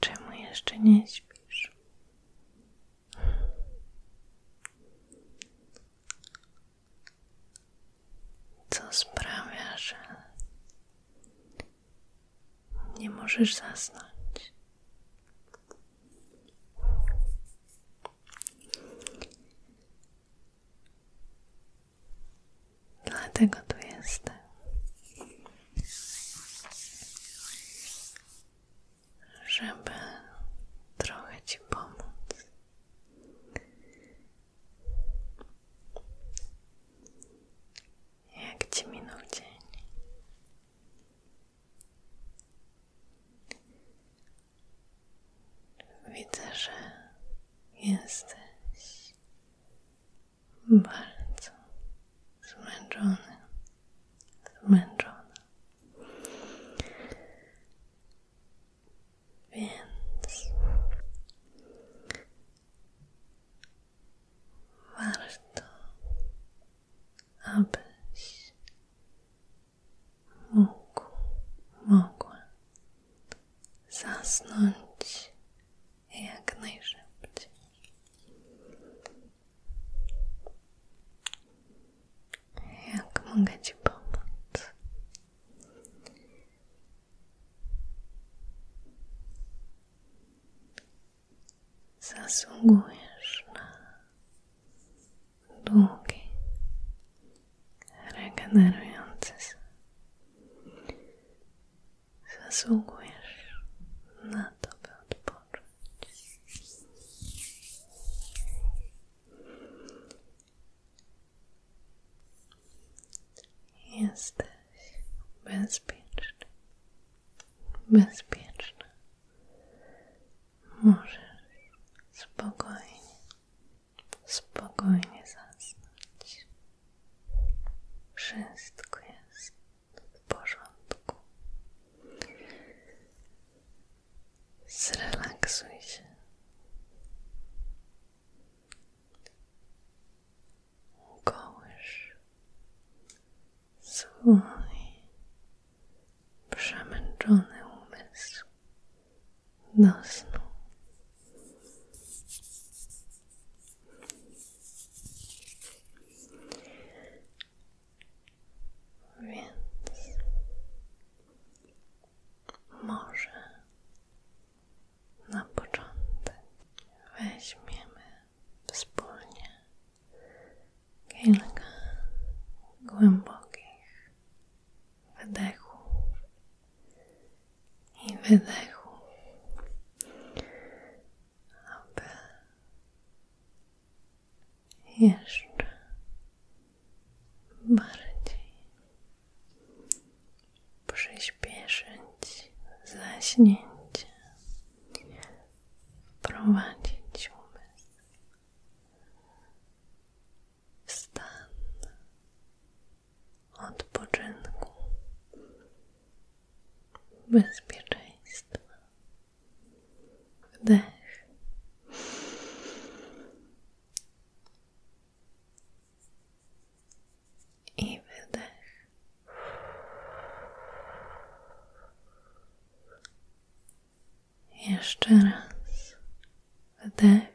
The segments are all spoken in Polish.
Czemu jeszcze nie śpisz? Co sprawia, że nie możesz zasnąć? Dlatego tu jestem. Żeby trochę Ci pomóc. Jak Ci minął dzień? Widzę, że jesteś bardzo zmęczony, zmęczona. Więc warto, abyś mógł, mogła zasnąć jak najszybciej. Jak mogę Ci pomóc? Zasługujesz na długi, regenerujący się. Zasługujesz na to, by odpocząć. Jesteś bezpieczny, bezpieczna. Możesz spokojnie spokojnie zasnąć. Wszystko jest w porządku. Zrelaksuj się. Kołysz swój przemęczony umysł do Więc może na początek weźmiemy wspólnie kilka głębokich Wdechu i wydechu, aby jeszcze bardziej przyspieszyć zaśnięcie, prowadzić, umysł odpoczynku, bezpieczeństwa. Wdech. I wydech. Jeszcze raz wdech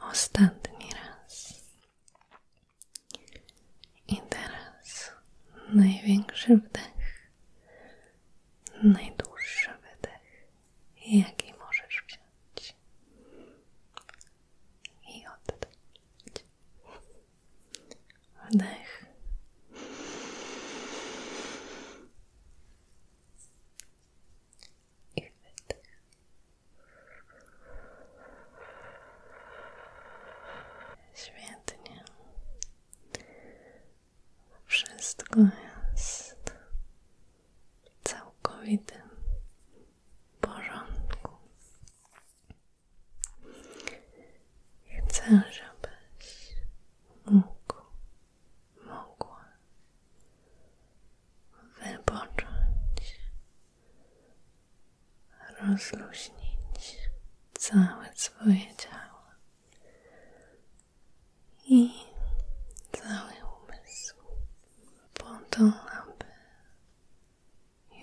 ostatni raz. I teraz największy wdech, najdłuższy wydech, jaki możesz wziąć i oddać. Wdech. Wszystko jest w całkowitym porządku. Chcę, żebyś mógł, mogła wypocząć, rozluźnić całe swoje ciało i cały umysł po to, aby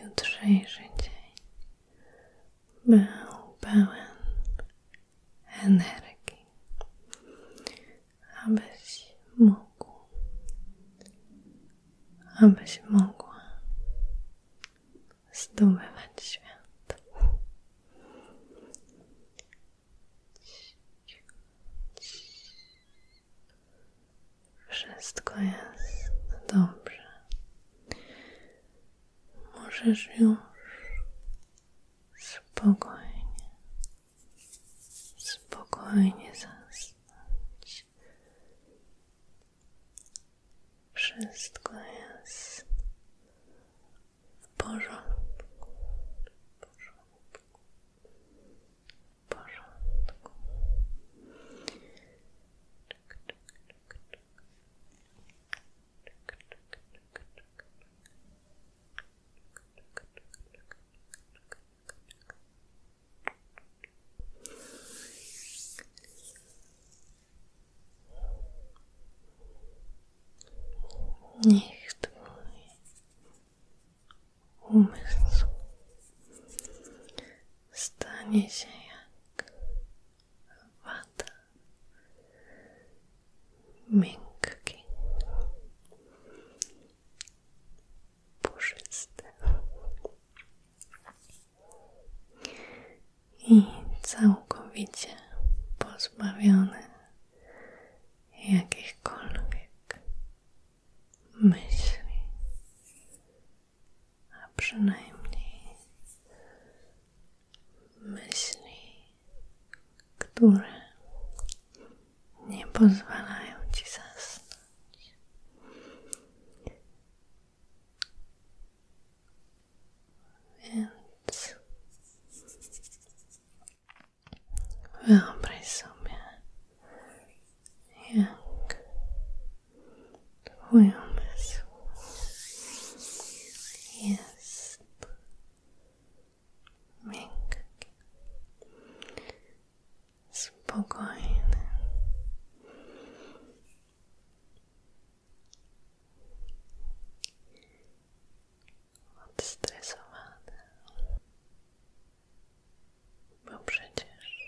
jutrzejszy dzień był pełen energii abyś mógł, abyś mogła zdobywać świat. Wszystko jest dobrze. Możesz już spokojnie spokojnie zasnąć. Wszystko jest w porządku, Niech Twój umysł stanie się jak puszysty. I całkowicie pozbawiony jakichkolwiek myśli, a przynajmniej myśli które nie pozwalają ci zasnąć. Więc wyobraź sobie, jak twój umysł miękki, spokojny. Odstresowane, bo przecież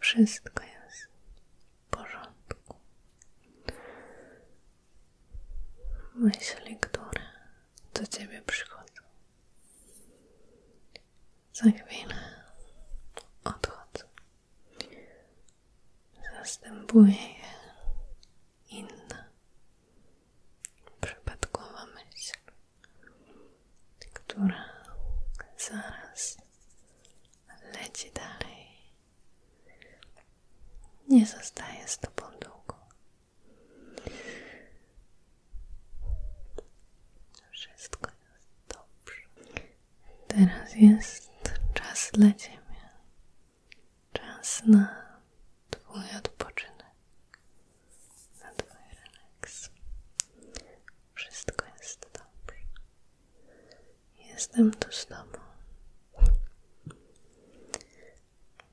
wszystko jest w porządku myśli, które do Ciebie przychodzą. Za chwilę odchodzą. Zastępuje inna, przypadkowa myśl, która zaraz leci dalej. Nie zostaje z Tobą długo. Wszystko jest dobrze. Teraz jest czas dla Ciebie. Czas na Twój odpoczynek, na Twój relaks. Wszystko jest dobrze. Jestem tu z Tobą.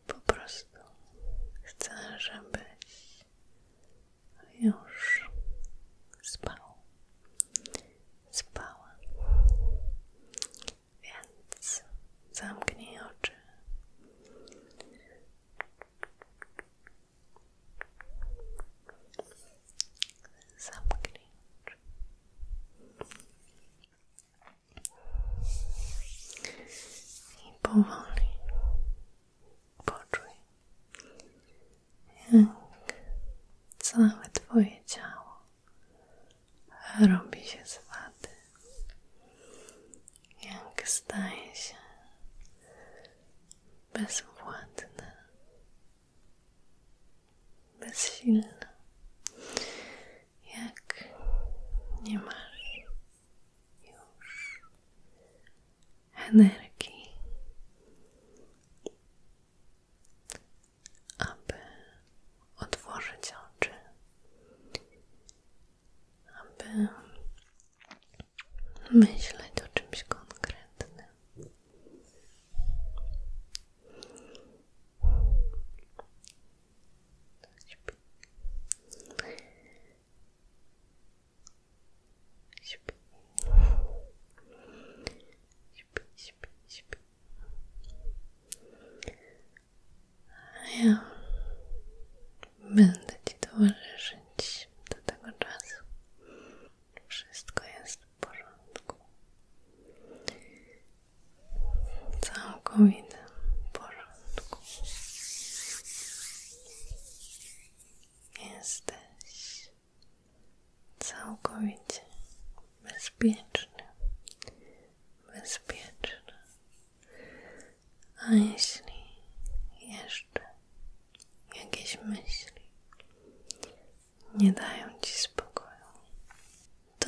Po prostu chcę, żebyś już spał, spała. Więc zamknij oczy. Zamknij i powoli poczuj, jak całe Twoje ciało robi się z jak staje się bezwładne, bezsilne jak nie masz już energii, aby otworzyć oczy, aby myśleć o czymś konkretnym. Śpi. Śpi. Śpi, śpi, śpi. A ja będę Ci towarzyszyć do tego czasu. Wszystko jest w porządku całkowitym porządku. Jesteś całkowicie bezpieczny, bezpieczny. A jeśli jeszcze jakieś myśli nie dają ci spokoju, to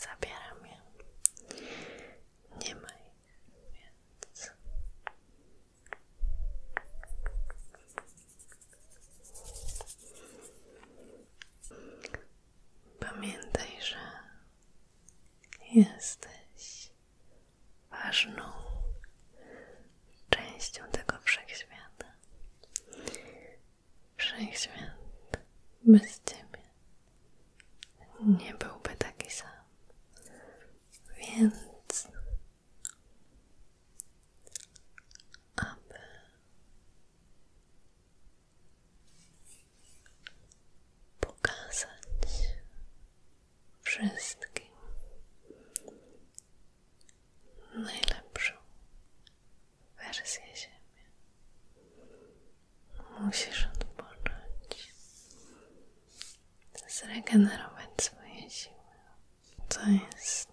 Zabieram je. Nie ma ich, Pamiętaj, Jesteś ważną częścią tego wszechświata. Wszechświat bez ciebie nie byłby taki sam. Więc aby pokazać wszystkim najlepszą wersję siebie. Musisz odpocząć, zregenerować swoje siły. To jest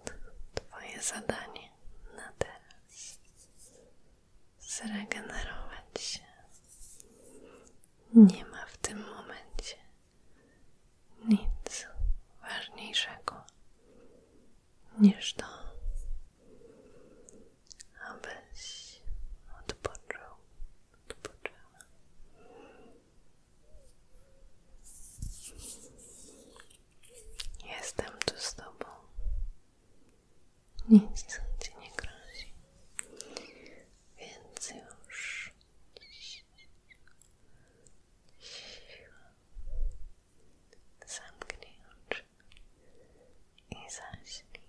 Twoje zadanie na teraz zregenerować się. Nie ma w tym momencie nic ważniejszego niż to, abyś odpoczął, odpoczęła. Jestem tu z Tobą nic ci nie grozi. Więc już zamknij oczy i zaśnij.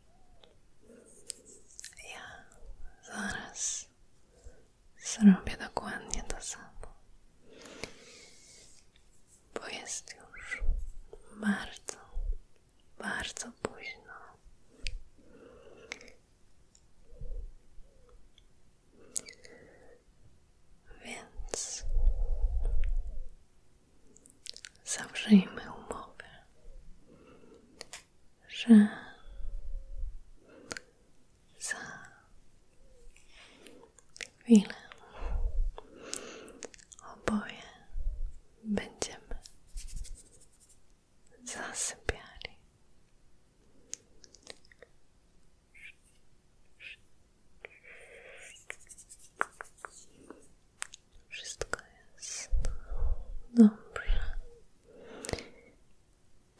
Ja zaraz zrobię dokładnie to samo, bo jest już bardzo bardzo późno. Więc zawrzyjmy umowę, że za chwilę oboje będziemy zasypiali. Wszystko jest dobrze.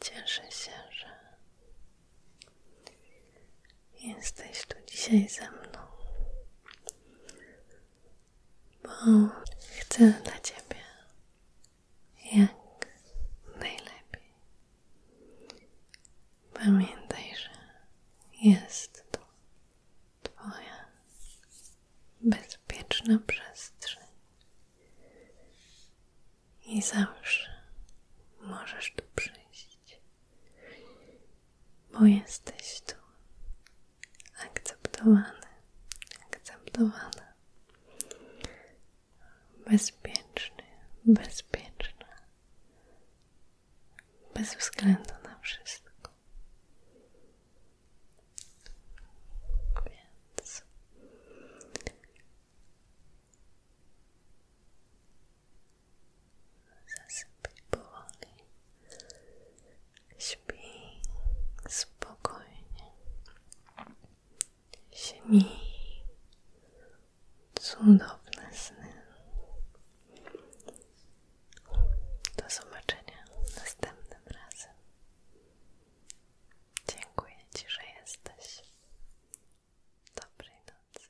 Cieszę się, że jesteś tu dzisiaj ze mną bo chcę dla Ciebie jak najlepiej. Pamiętaj, że jest to Twoja bezpieczna przestrzeń i zawsze możesz tu przyjść bo jesteś tu akceptowany, akceptowana, bezpieczny, bezpieczna, bez względu na wszystko zasypaj powoli, śpij spokojnie, śmij cudowne sny. Do zobaczenia następnym razem. Dziękuję Ci, że jesteś. Dobrej nocy.